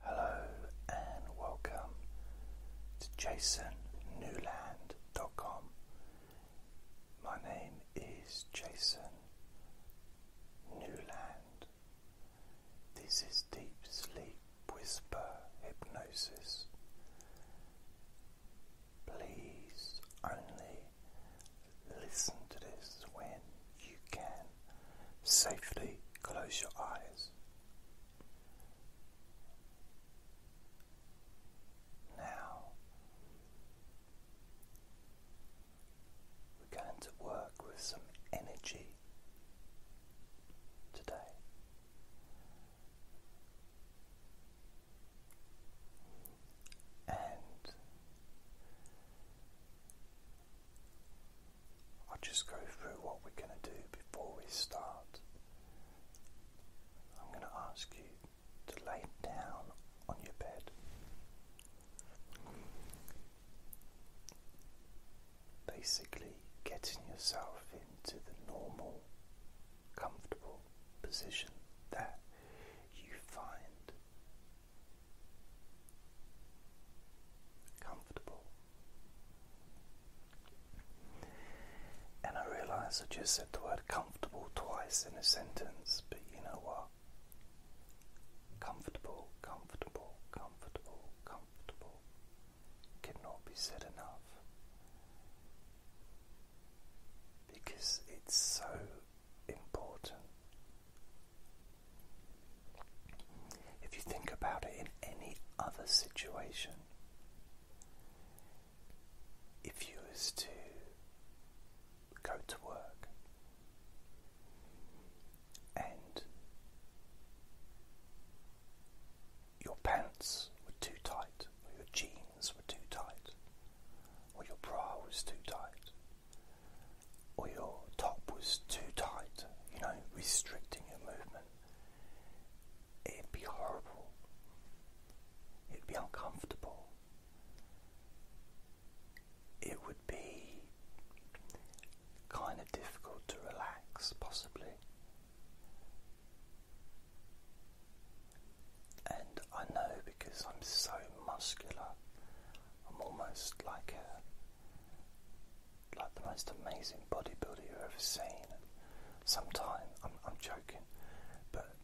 Hello and welcome to jasonnewland.com. My name is Jason Newland. This is Deep Sleep Whisper Hypnosis. Please only listen to this when you can safely close your eyes. Now we're going to work with some energy today. And I'll just go through what we're going to do before we start. I'm going to ask you to lay down on your bed. Basically, getting yourself into the normal, comfortable position that you find comfortable and I realise I just said the word comfortable twice in a sentence, but you know what? Comfortable, comfortable, comfortable, comfortable cannot be said enough because it's so important if you think about it in any other situation, if you was to go to work and your pants were too tight, or your jeans were too tight, or your bra was too tight, or your top was too tight, you know, restricting your movement, it'd be horrible. It'd be uncomfortable. It would be kind of difficult to relax, possibly. And I know because I'm so muscular, I'm almost like a like the most amazing bodybuilder you've ever seen. And sometimes I'm, I'm joking, but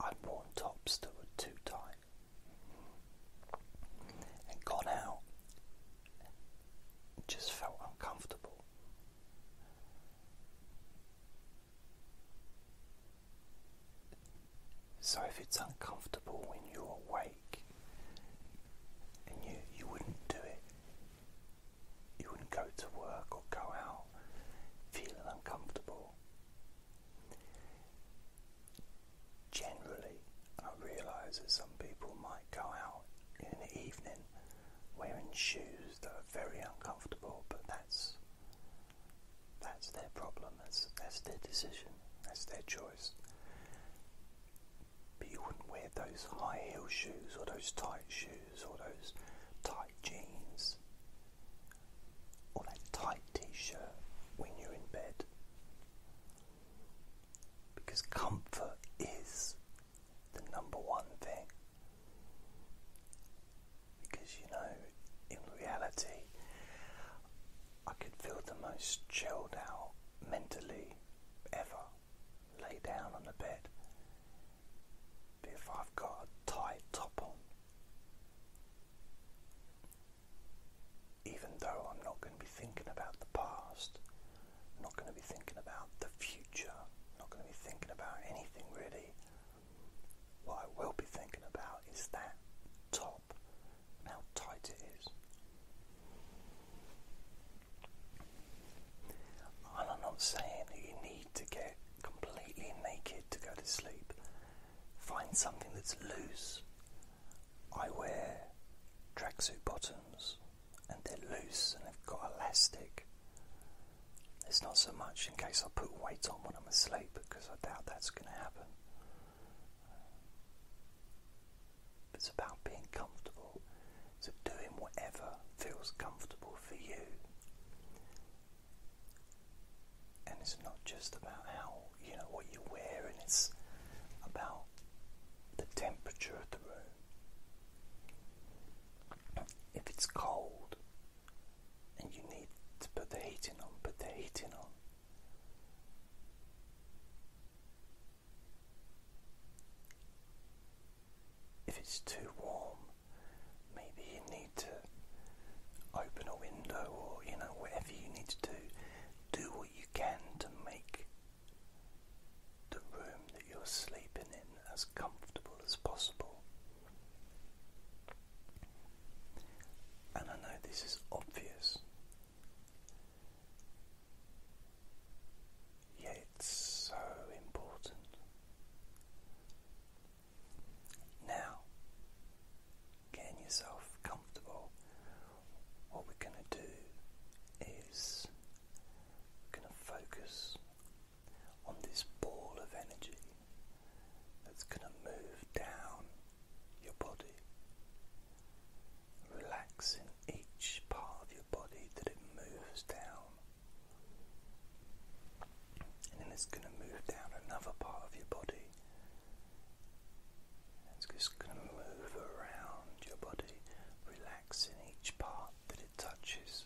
I'd worn tops that were too tight and gone out just felt uncomfortable. So if it's uncomfortable when you're awake and you, you wouldn't do it, you wouldn't go to work or go out feeling uncomfortable. Generally, I realise that some people might go out in the evening wearing shoes that are very uncomfortable, but that's that's their problem, that's, that's their decision, that's their choice. But you wouldn't wear those high heel shoes or those tight shoes or those tight jeans or that tight t shirt when you're in bed. Because comfort is the number one thing. Because you know, in reality, I could feel the most chilled out mentally ever. Lay down on the bed. if I've got a tight top on, even though I'm not going to be thinking about the past, I'm not going to be thinking about the future, I'm not going to be thinking about anything really, what I will be thinking about is that top how tight it is. And I'm not saying that you need to get completely naked to go to sleep. Find something that's loose. I wear tracksuit bottoms and they're loose and they've got elastic. It's not so much in case I put weight on when I'm asleep because I doubt that's going to happen. It's about being comfortable. So doing whatever feels comfortable for you. And it's not just about how, you know, what you wear, and it's about the temperature of the room. If it's cold and you need to put the heating on, put the heating on. If it's too warm, maybe you need to open a window or, you know, whatever you need to do. Do what you can to make the room that you're sleeping in as comfortable as possible. And I know this is obvious yeah, it's so important. Now, getting yourself comfortable, what we're going to do is going to focus on this ball of energy that's going to move down your body. Relax in each part of your body that it moves down. And then it's going to move down another part of your body. It's just going to move around your body, relax in each part that it touches.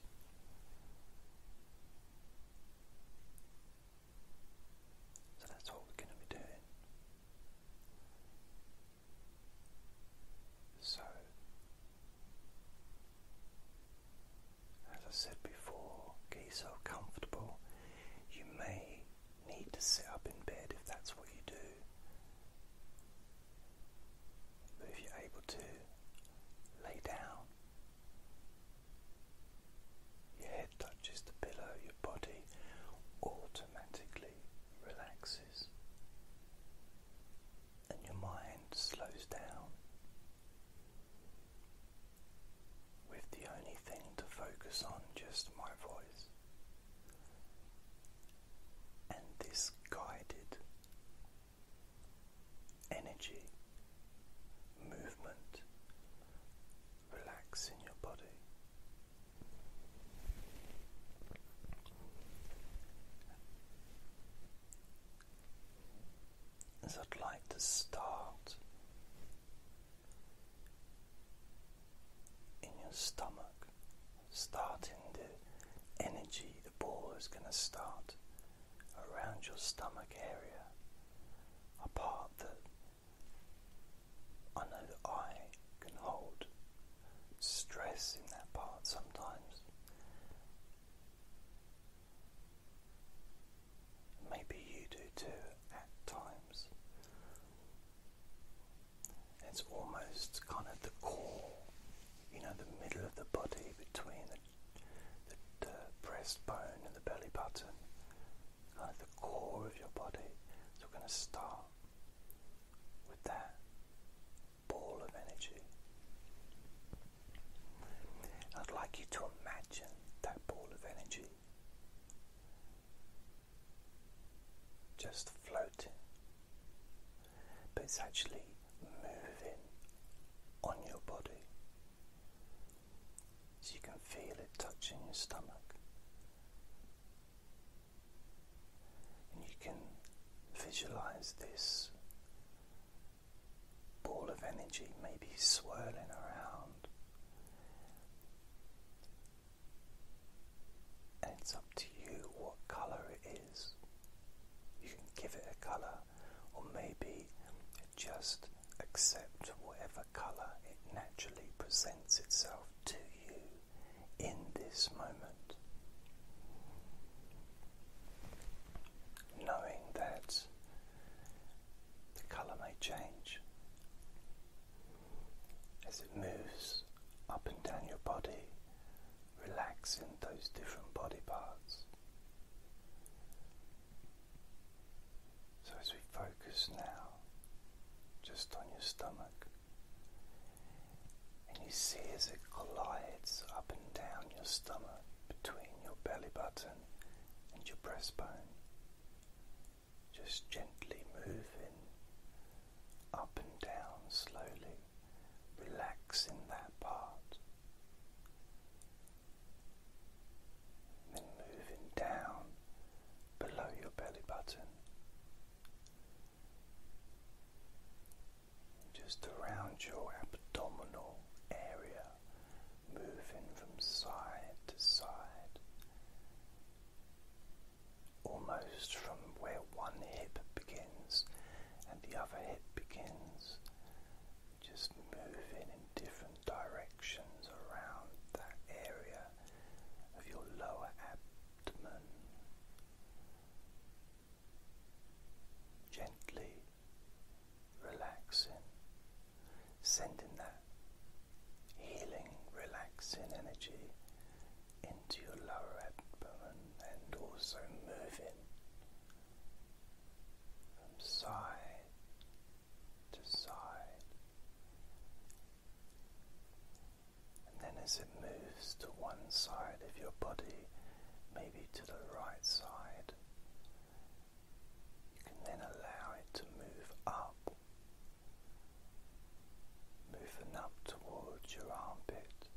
So that's what we're going to be doing. So, as I said before, get yourself comfortable. You may need to sit up in bed if that's what you do. But if you're able to, lay down your head touches the pillow, your body automatically relaxes and your mind slows down with the only thing to focus on just my voice. And this guided energy, movement, relaxing your body. As I'd like to start in your stomach, starting the energy, the ball is going to start around your stomach area, a part that I know that I can hold stress in that part sometimes. Maybe you do too at times. It's almost kind of the core, you know, the middle of the body between the, the, the breastbone and the belly button kind uh, of the core of your body. So we're going to start with that ball of energy. I'd like you to imagine that ball of energy just floating, but it's actually moving on your body so you can feel it touching your stomach. And you can visualize this ball of energy maybe swirling around. And it's up to you what color it is. You can give it a color, or maybe just accept whatever color it naturally presents itself to you in this moment. Knowing that the colour may change as it moves up and down your body, relaxing those different body parts. So, as we focus now just on your stomach, and you see as it glides up and down your stomach between your belly button and your breastbone, just gently moving up and down slowly, relaxing that part. Then moving down below your belly button, just around your abdominal area, moving from side to side, almost from where one hip begins and the other hip begins, just moving in different directions around that area of your lower abdomen. Gently relaxing, sending that healing, relaxing energy into your lower abdomen and also moving from side to side and then as it moves to one side of your body, maybe to the right side, you can then allow it to move up, moving up towards your armpit,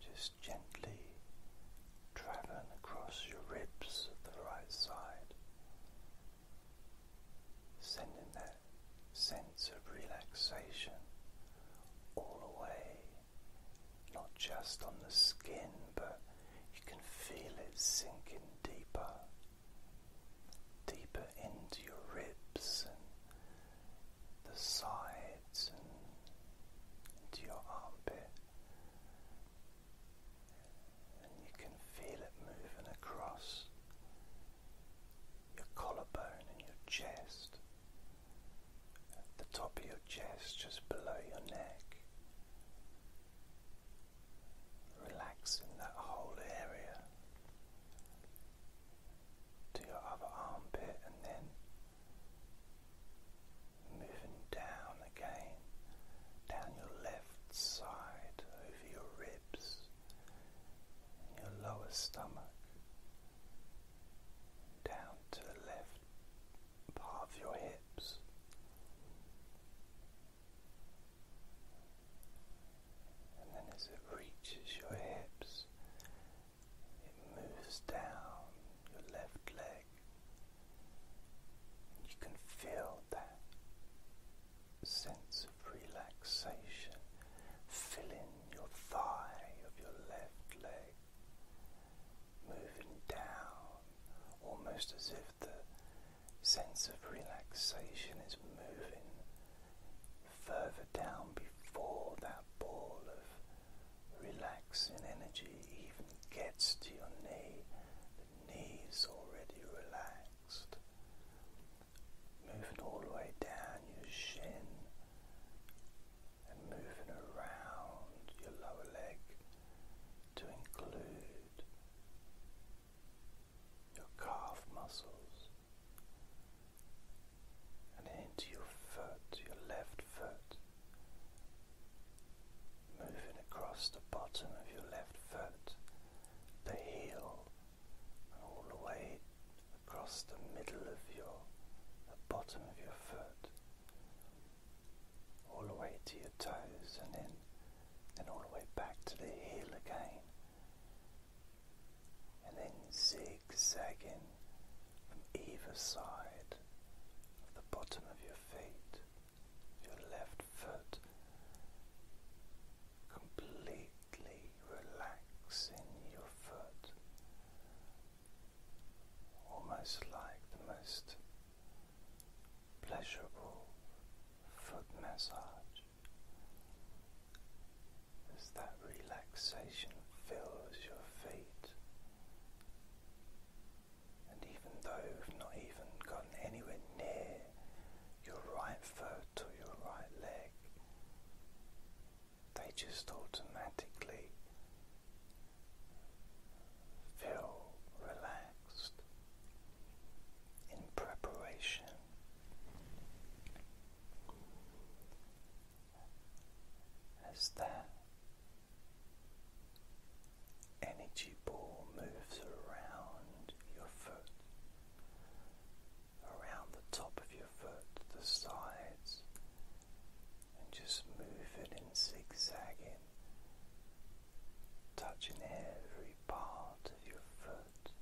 just gently traveling across your ribs at the right side sending that sense of relaxation all away, not just on the skin, but you can feel it sinking deeper, deeper into your ribs and the sides and into your armpit and you can feel it moving across your collarbone and your chest, at the top of your chest, just below your neck, Relax in that whole area to your other armpit and then moving down again down your left side over your ribs and your lower stomach, down to the left part of your hips. And then as it reaches your hips, it moves down your left leg. You can feel that sense of relaxation filling your thigh of your left leg, moving down almost as if the sense of relaxation is moving further down before that ball of relaxing energy even gets to your knee. The knee's already relaxed. Moving all the way down your shin and moving around your lower leg to include your calf muscles and into your foot, your left foot moving across the bottom of your left foot, the heel, all the way across the middle of your the bottom of your foot, all the way to your toes, and then then all the way back to the heel again, and then zigzagging from either side of the bottom of your feet your left foot, completely relaxing your foot, almost like the most pleasurable foot massage as that relaxation fills your feet. And even though you've not even gotten anywhere near your right foot or your right leg, they just automatically feel relaxed in preparation. As that energy ball moves around your foot, around the top of your foot, the sides, and just move in zigzagging, touching every part of your foot.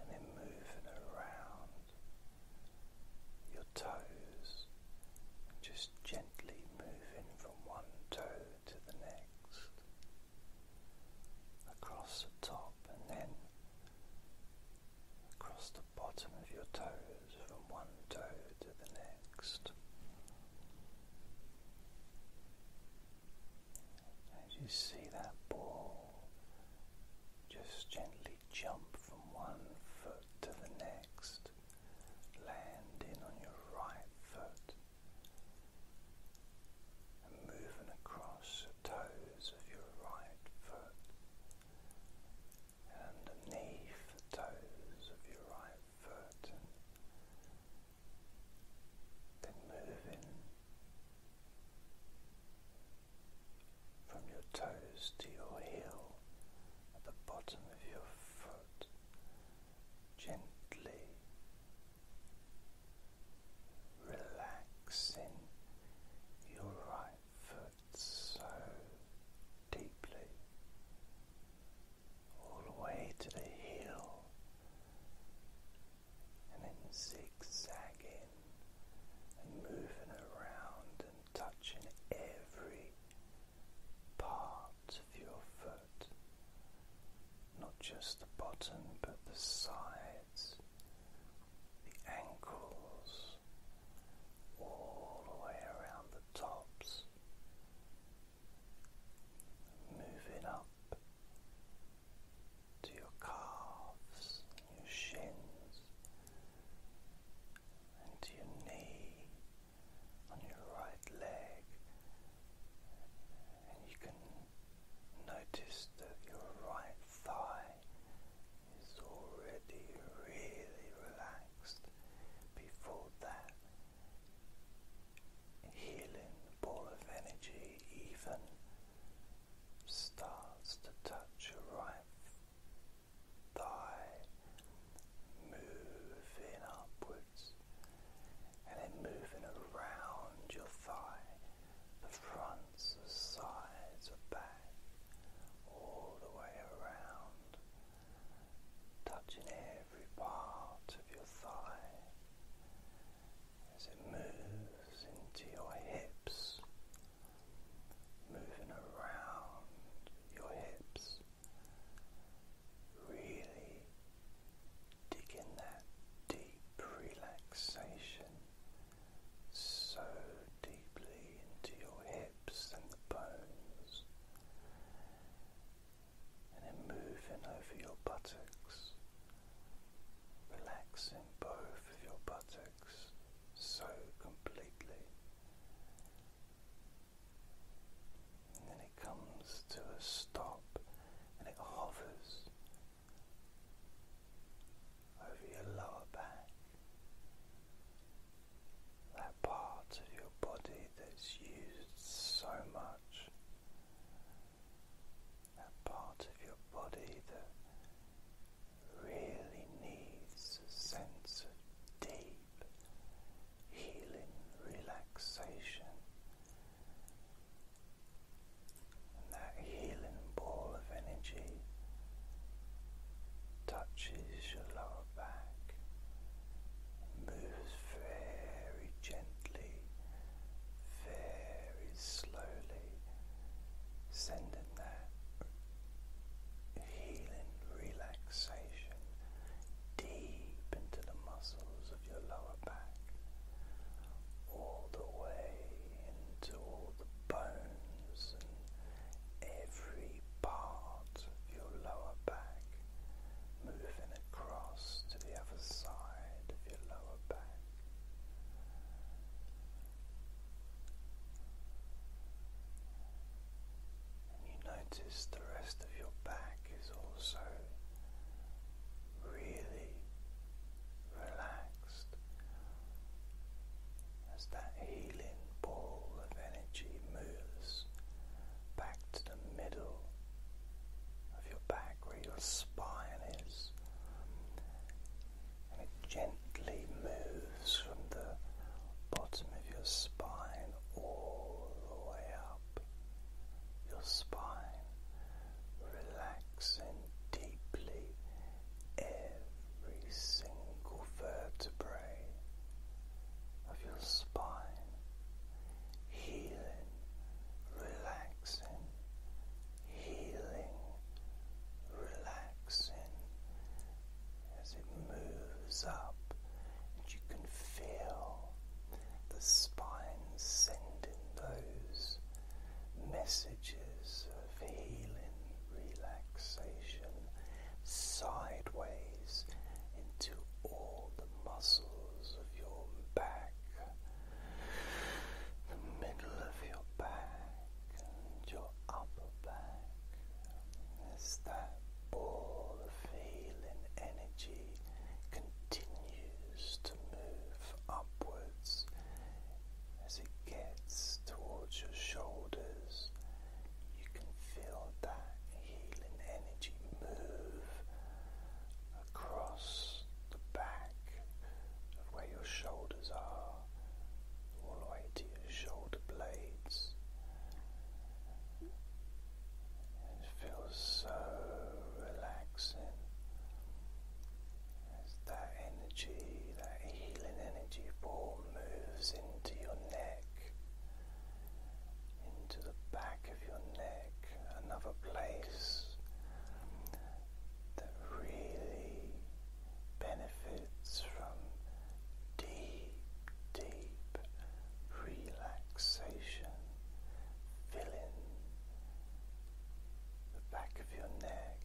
And then moving around your toes, just gently gently moving from one toe to the next, across the top and then across the bottom of your toes, from one toe to the next. As you see that ball just gently jump from one foot to the next landing on your right foot and moving across toes of your right foot and underneath toes of your right foot then moving from your toes to your heel at the bottom of your foot out gently, relaxing your right foot so deeply, all the way to the heel, and then zigzagging and moving around and touching every part of your foot, not just the bottom but the sides, the ankles, all the way around the tops, moving up. To your calves, your shins, and to your knee, on your right leg, and you can notice that your right thigh is already really relaxed before that healing ball of energy even starts to touch your right thigh moving upwards and then moving around your thigh, the fronts, the sides, the back, all the way around, touching every part of your thigh as it moves into your hips, moving around your hips. Really dig that deep relaxation so deeply into your hips and the bones, and then moving over your buttocks, relaxing both of your buttocks so completely. And then it comes to a stop and it hovers over your lower back, that part of your body that's used so much, that part of your body that really needs a sense of deep healing relaxation. And that healing ball of energy touches your lower back, moves very gently, very slowly, sending that healing relaxation deep into the muscles of your lower back, all the way into all the bones and every part of your lower back, moving across to the other side of your lower back. You notice the rest of your back is also really relaxed as that healing ball of energy moves back to the middle of your back where your spine is. And it gently moves from the bottom of your spine all the way up your spine, relaxing deeply every single vertebrae of your spine, healing, relaxing, healing, relaxing as it moves up, and you can feel the spine sending those messages of healing, relaxation sideways into all the muscles of your back, the middle of your back, and your upper back. As that all of healing energy continues to move upwards as it gets towards your shoulders. You can feel that healing energy move across the back of where your shoulders are, all the way to your shoulder blades. It feels so relaxing as that energy, that healing energy ball moves into your neck, into the back of your neck, another place that really benefits from deep, deep relaxation filling the back of your neck.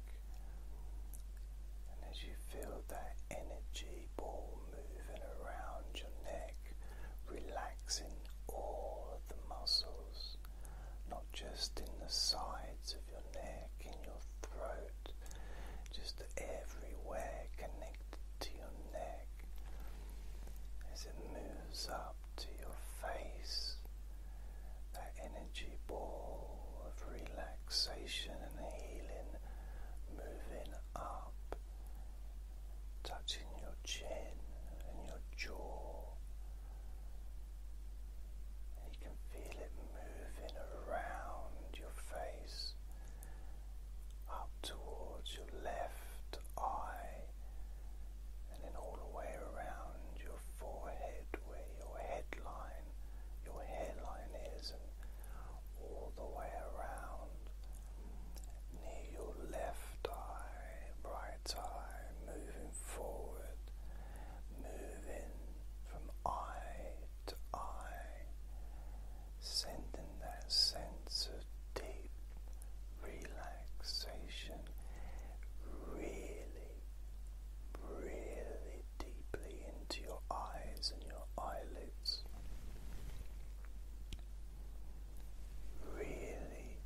And as you feel that energy ball moving around your neck, relaxing all of the muscles, not just in the sides of your neck, in your throat, just everywhere connected to your neck as it moves up to your face. That energy ball of relaxation and healing moving up, touching your chin and your jaw. you can feel it moving around your face up towards your left eye and then all the way around your forehead where your headline, your hairline is all the way around near your left eye, right eye, moving forward, moving from eye to eye, sending that sense of deep relaxation really, really deeply into your eyes and your eyelids. Really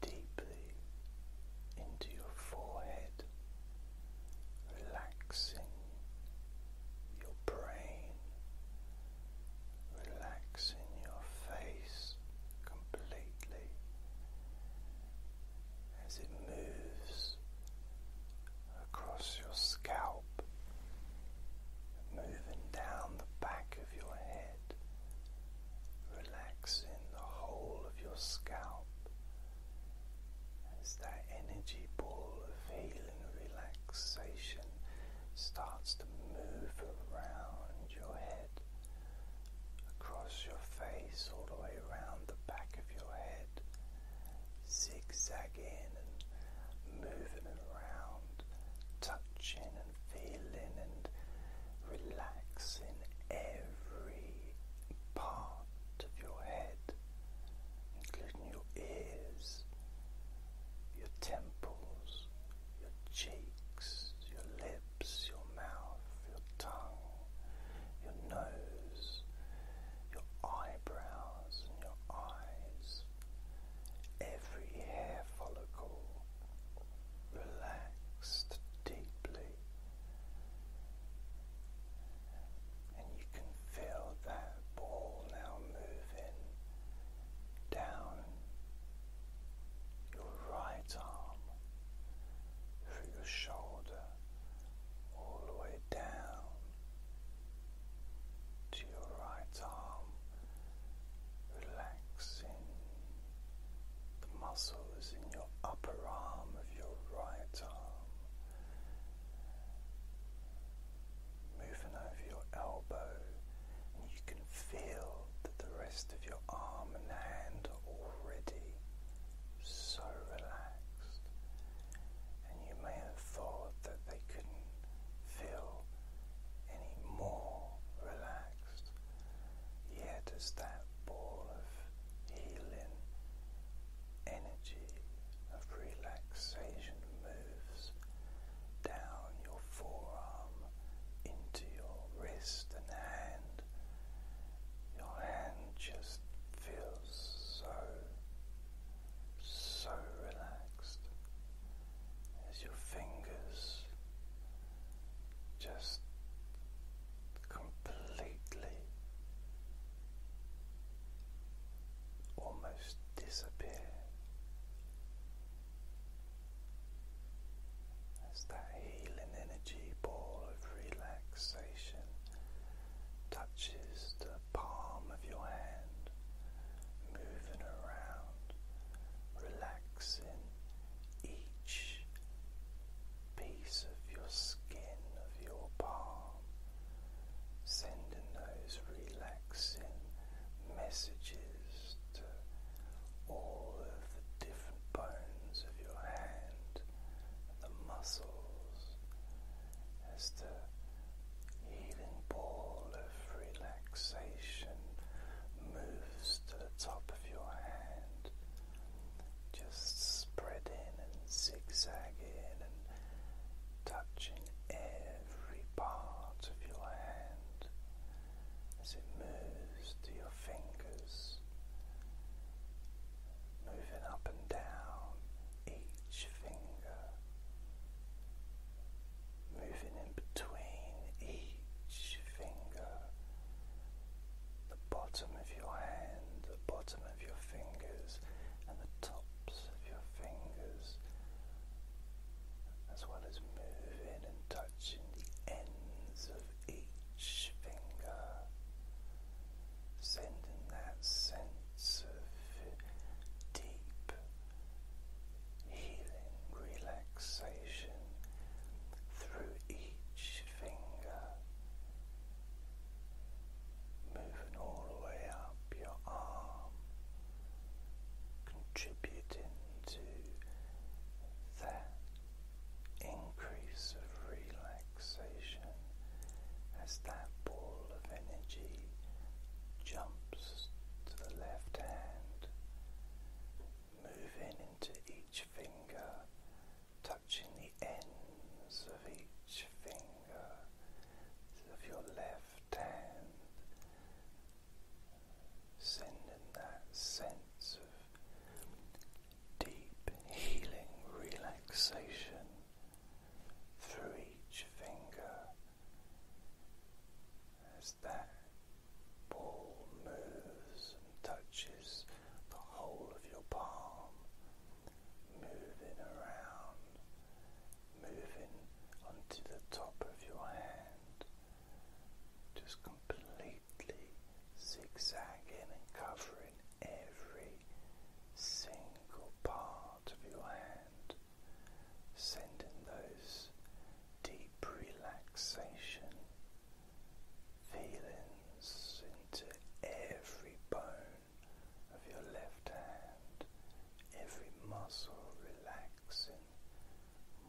deeply into your forehead, relaxing your brain, relaxing your face completely as it moves across your scalp, moving down the back of your head, relaxing the whole of your scalp as that energy ball of healing relaxation starts to move around your head, across your face, all the way around the back of your head, zigzagging and moving around, touching and feeling and relaxing every part of your head including your ears, your temples, your cheeks, your lips, your mouth, your tongue, your nose, your eyebrows, and your eyes. Every hair follicle relaxed deeply and you can feel that ball now moving down your right arm through your shoulder all the way down to your right arm, relaxing the muscles in your upper arm of your right arm moving over your elbow, and you can feel that the rest of your arm and hand are already so relaxed. And you may have thought that they couldn't feel any more relaxed. Yet, as that ball of healing energy of relaxation moves down your forearm into your wrist and hand. Your hand just feels so, so relaxed as your fingers just completely almost disappear as that healing energy ball of relaxation touches the palm of your hand, moving around, relaxing each piece of your skin, of your palm sending those relaxing messages to all of the different bones of your hand and the muscles as the healing ball of relaxation moves to the top of your hand, just spreading and zigzagging and touching every part of your hand as it moves to your fingers, moving up and down each finger, moving in between each finger, the bottom of your hand, the bottom of your fingers and the tops of your fingers, as well as moving and touching the ends of each finger, sending that sense of deep healing relaxation through each finger moving all the way up your arm, contributing to that increase of relaxation as that ball of energy jumps to the left hand, moving into each finger, touching the ends of each finger of your left hand, sending that sense of deep healing relaxation through each finger as that ball moves and touches the whole of your palm moving around, moving onto the top of your hand, just completely zigzagging and covering every single part of your hand, sending those deep relaxation feelings into every bone of your left hand, every muscle relaxing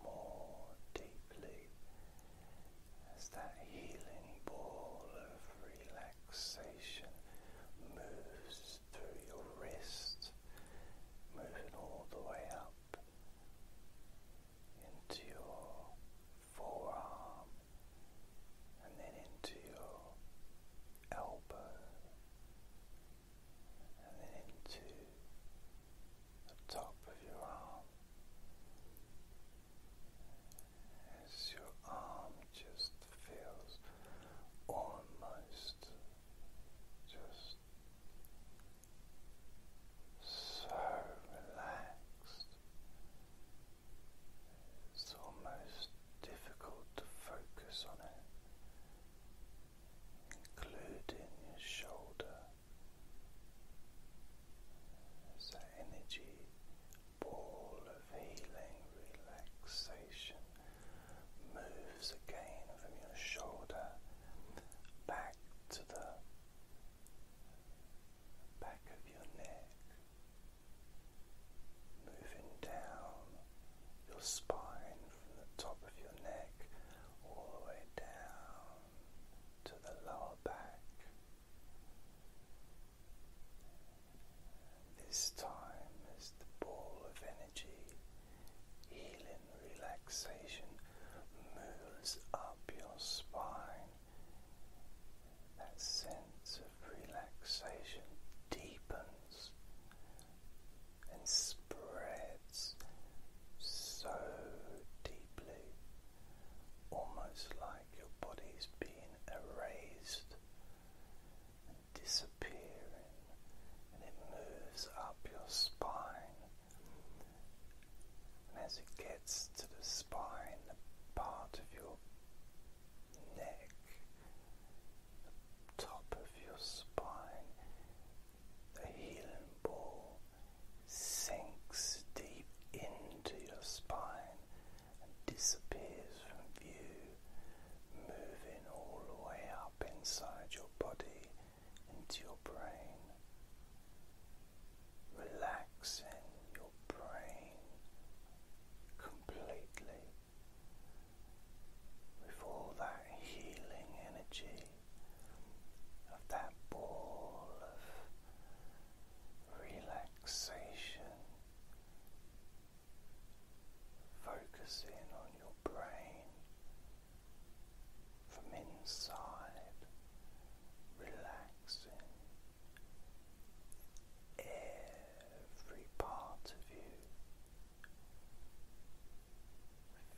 more deeply as that healing ball of relaxation moves through your wrist, moving all the way up into your forearm and then into your elbow and then into the top of your arm as your arm just feels almost just so relaxed. It's almost difficult to focus on it, including your shoulder. As energy ball of healing, relaxation moves again from your shoulder back to the back of your neck moving down your spine from the top of your neck all the way down to the lower back. This time as the ball of energy, healing, relaxation moves up your spine that sense of relaxation deepens and spreads so deeply, almost like your body's being erased and disappearing, and it moves up your spine. And as it gets to the spine, part of your neck, top of your spine, the healing ball sinks deep into your spine and disappears from view, moving all the way up inside your body into your brain. Relaxing your brain completely with all that healing energy of that ball of relaxation focusing on your brain from inside relaxing. Every every part of you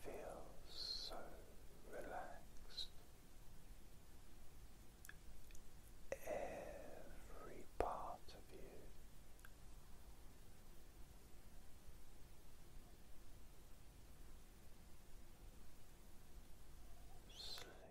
feels so relaxed. Every part of you sleep.